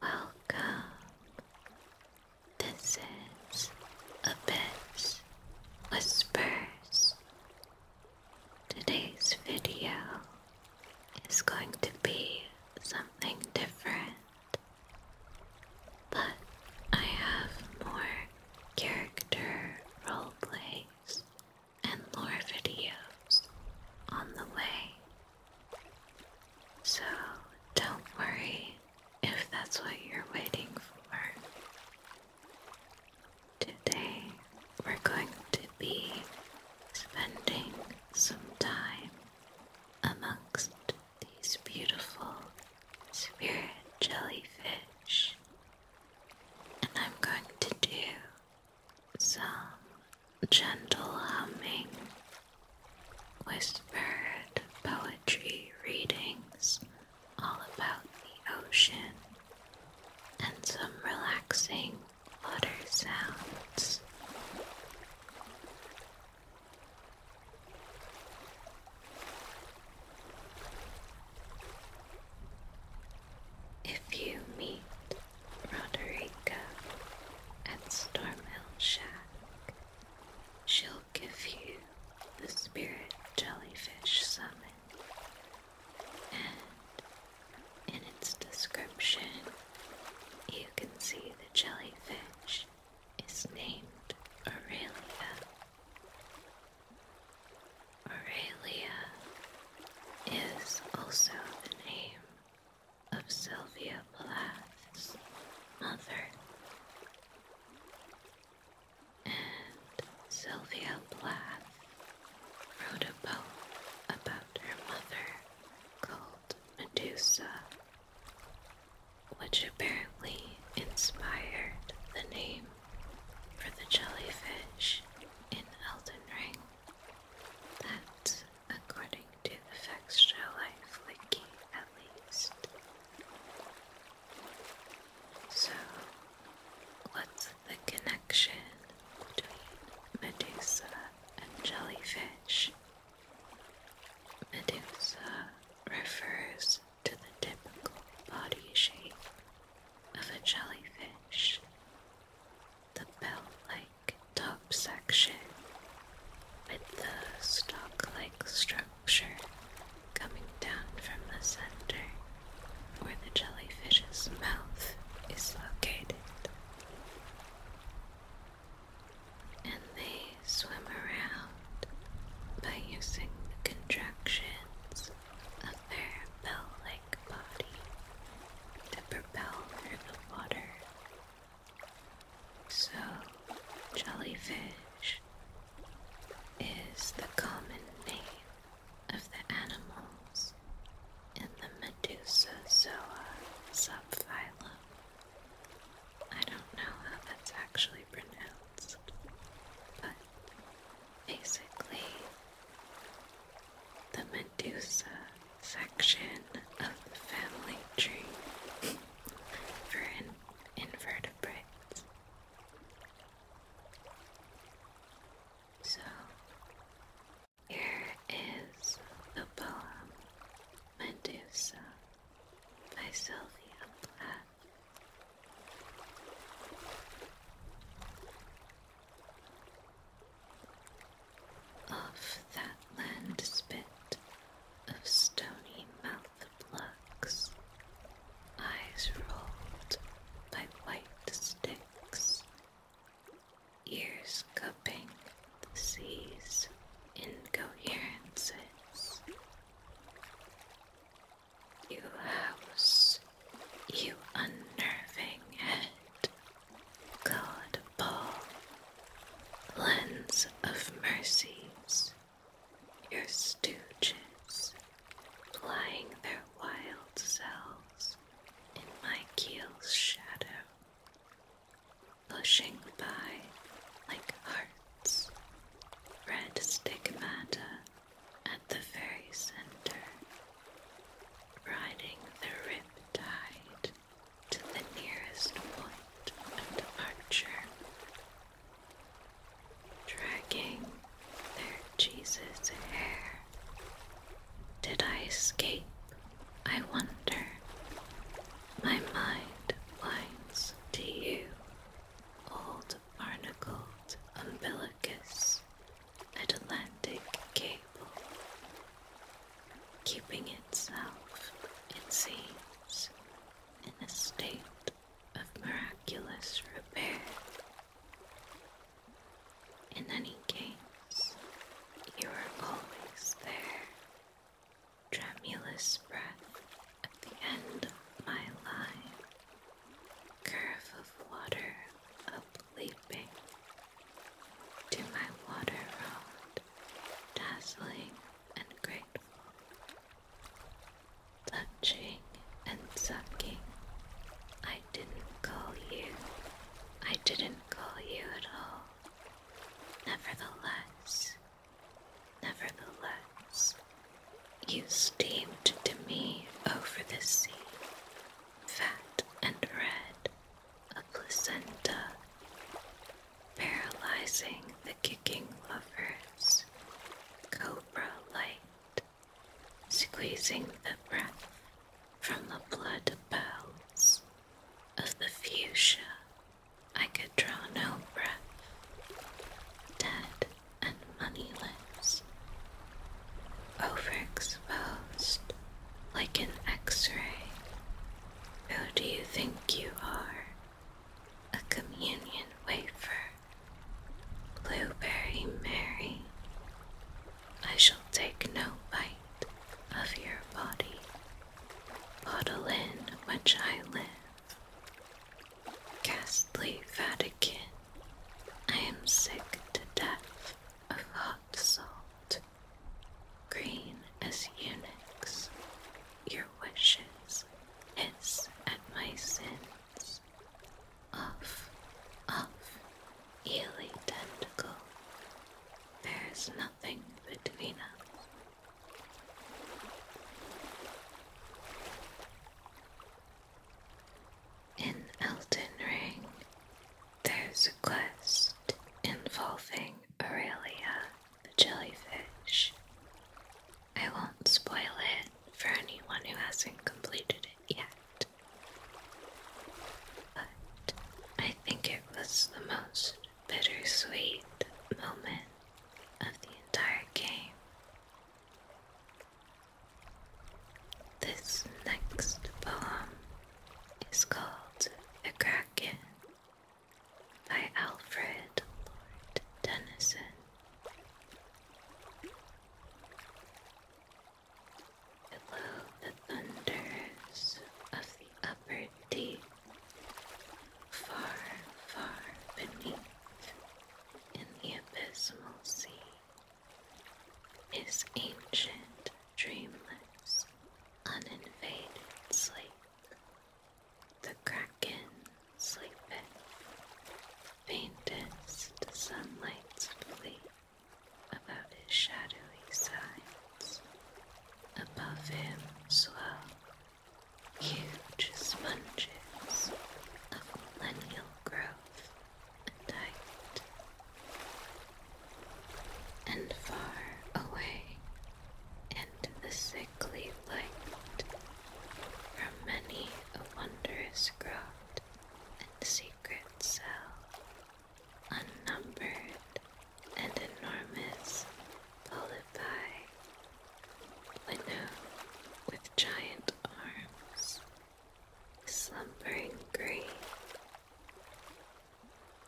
Welcome. This is Abyss Whispers. Today's video is going to be something different, but I have more character role plays and more videos on the way. So don't worry if that's what you're waiting for. Today we're going to be spending some time amongst these beautiful spirit jellyfish. And I'm going to do some gentle humming, whispered poetry readings all about the ocean, and some relaxing water sounds. If you meet Roderica at Stormhill Shack, she'll give you the Spirit Jellyfish Summon, and in its description, you can see the jellyfish is named Aurelia. Aurelia is also the name of Sylvia Plath's mother. And Sylvia Plath wrote a poem about her mother called Medusa, which apparently inspired the name for the jellyfish in Elden Ring. That, according to the facts, show life at least. So, what's the connection between Medusa and jellyfish? Medusa refers to the typical body shape of a jellyfish the bell-like top section with the stalk-like structure coming down from the center where the jellyfish's mouth is located. And they swim around by using the contractions of bell-like body to propel through the water. So, jellyfish is the common name of the animals in the Medusozoa subphylum. I don't know how that's actually pronounced, but basically, the Medusa section of the family tree for invertebrates. So, here is the poem Medusa by Sylvia Plath. Of that land spit of stony mouthed blocks, eyes rolled by white sticks, ears cupping the sea's incoherences. You house you unnerving head, God Ball, lens of mercies, your stooges flying their wild selves in my keel's shadow, pushing by like hearts, red stigmata at the very center riding the rip tide to the nearest point of departure, dragging their Jesus hair. Did I escape? I wonder. My mind blinds to you, old barnacled umbilicus Atlantic Cable, keeping itself, it seems, in a state of miraculous repair. In any case, you are always there. Tremulous breath at the end of my line, curve of water up leaping to my water road, dazzling and grateful, touching and sucking. I didn't call you. I didn't call you at all. Nevertheless, nevertheless, you steamed to me over the sea, fat and red, a placenta, paralyzing the kicking lovers, cobra light, squeezing the breath from the blood bells of the fuchsia. I could draw no breath, dead and moneyless Overexposed like an x ray. Who do you think you are? A communion wafer. Blueberry Mary. I shall take no bite of your body. Bottle in which I live. Ghastly Vatican. I am sick to death of hot salt, green as eunuchs, your wishes hiss at my sins. Off, off, eely tentacle, there is nothing between us. In Elden Ring, there's a quest involving Aurelia the jellyfish. I won't spoil it for anyone who hasn't completed it yet. But I think it was the most bittersweet moment of the entire game. This next poem is called *The Kraken by Alfred Lord Tennyson. Below the thunders of the upper deep, far, far beneath in the abysmal sea. His ancient, dreamless, uninvaded sleep. The kraken sleeping, faintest sunlight's fleet about his shadowy sides. Above him swell huge sponges of millennial growth and tight and far away and the sickly light from many a wondrous grove and secret cell, unnumbered and enormous polypi, with giant arms slumbering green.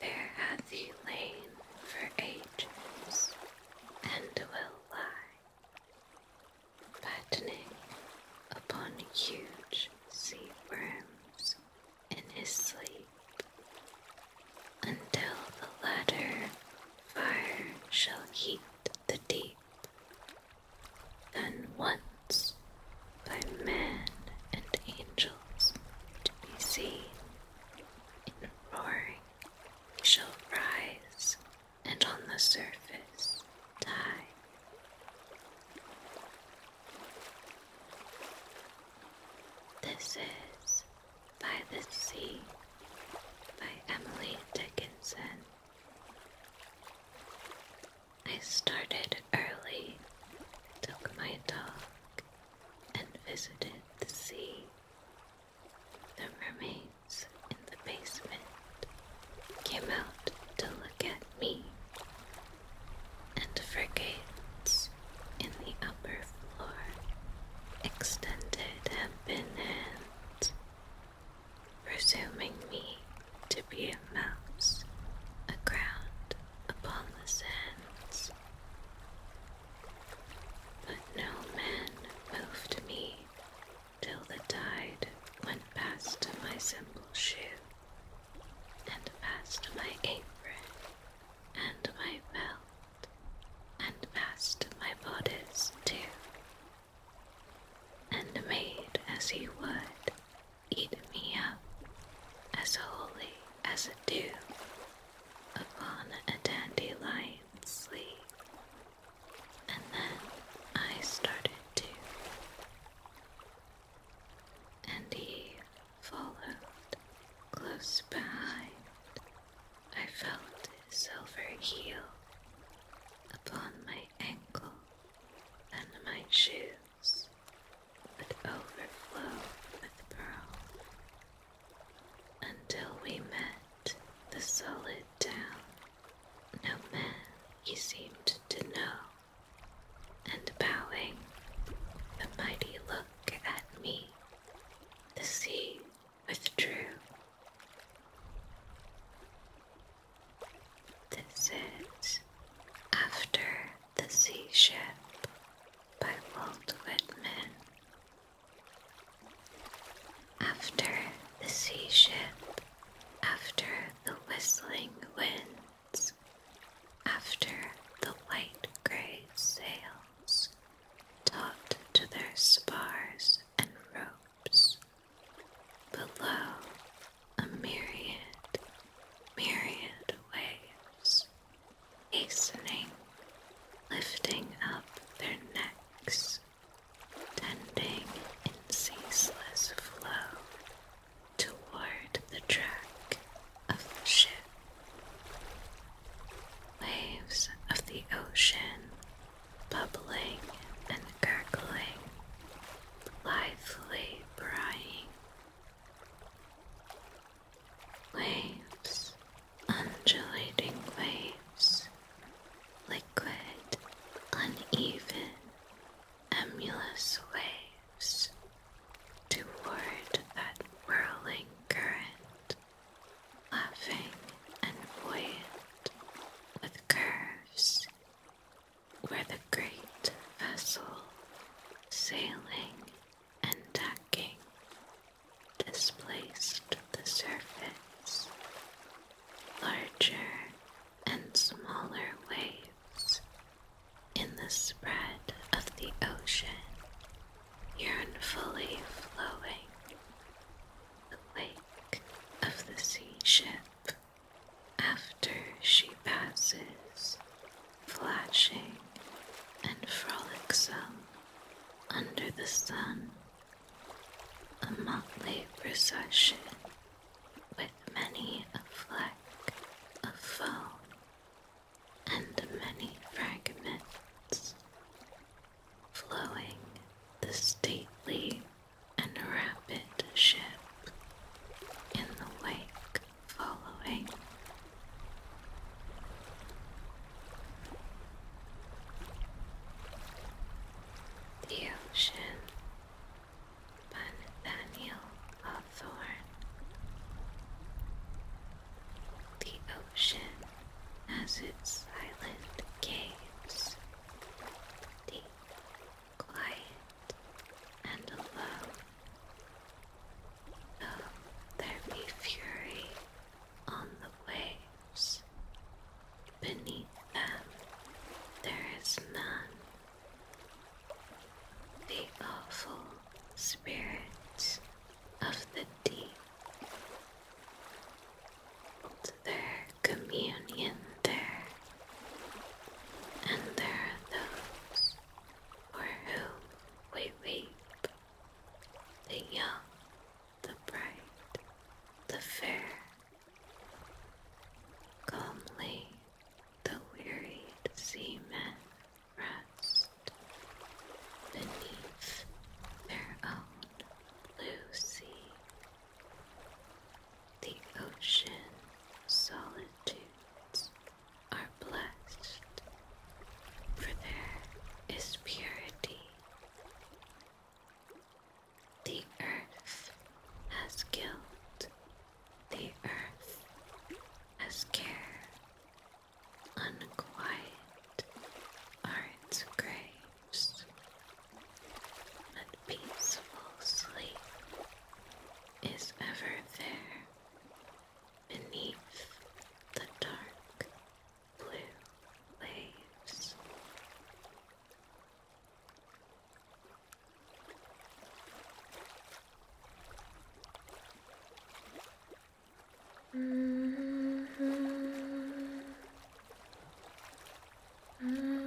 There hath he lain for ages, and will lie, fattening upon huge sea worms in his sleep, until the latter fire shall heat the deep, than once by men and angels to be seen. In roaring shall rise, and on the surface die. This is By the Sea by Emily Dickinson. I started early, took my dog, and visited the sea. The mermaids in the basement came out to look at me, and frigates in the upper floor extended have been hands, presuming me to be a mouse aground upon the sands. But no man moved me till the tide went past my simple shoe, and past my apron, and my belt, and past my bodice too, and made as he would eat me up as wholly as dew upon a dandelion's sleeve. And then I started to, and he followed close behind. I felt his silver heel upon my ankle and my shoe jewels would overflow with pearl until we met the solid town. No man he seemed to know, and bowing, the mighty look at me, the sea withdrew. This is after the Sea Ship by Walt Whitman. After the sea ship, after the whistling winds, after the white gray sails, taut to their spars and ropes, below a myriad, myriad waves, hastening, lifting up their necks, tending in ceaseless flow toward the track of the ship. Waves of the ocean bubbling and gurgling, blithely prying Waves, undulating waves, liquid, uneven, emulous waves toward that whirling current, laughing and buoyant with curves where the great vessel sailing and tacking displaced the surface. Larger and smaller waves in the spread of the ocean yearnfully flowing the wake of the sea ship after she passes, flashing and frolicsome under the sun, a motley procession with many a fleck of foam and many fragments flowing the stately and rapid ship in the wake following. The Ocean by Nathaniel Hawthorne. The ocean has its silent caves, deep quiet and alone. Though there be fury on the waves, beneath them there is none. The awful spirits of the deep hold their communion there, and there are those for whom we weep, the young, the bright, the fair. Calmly the wearied seamen rest beneath their own blue sea. The ocean solitudes are blessed, for there is purity. The earth has guilt, the earth has care. Unquiet are its graves, but peaceful sleep is ever there beneath the dark blue waves. Mm-hmm. Mm-hmm. Mm-hmm.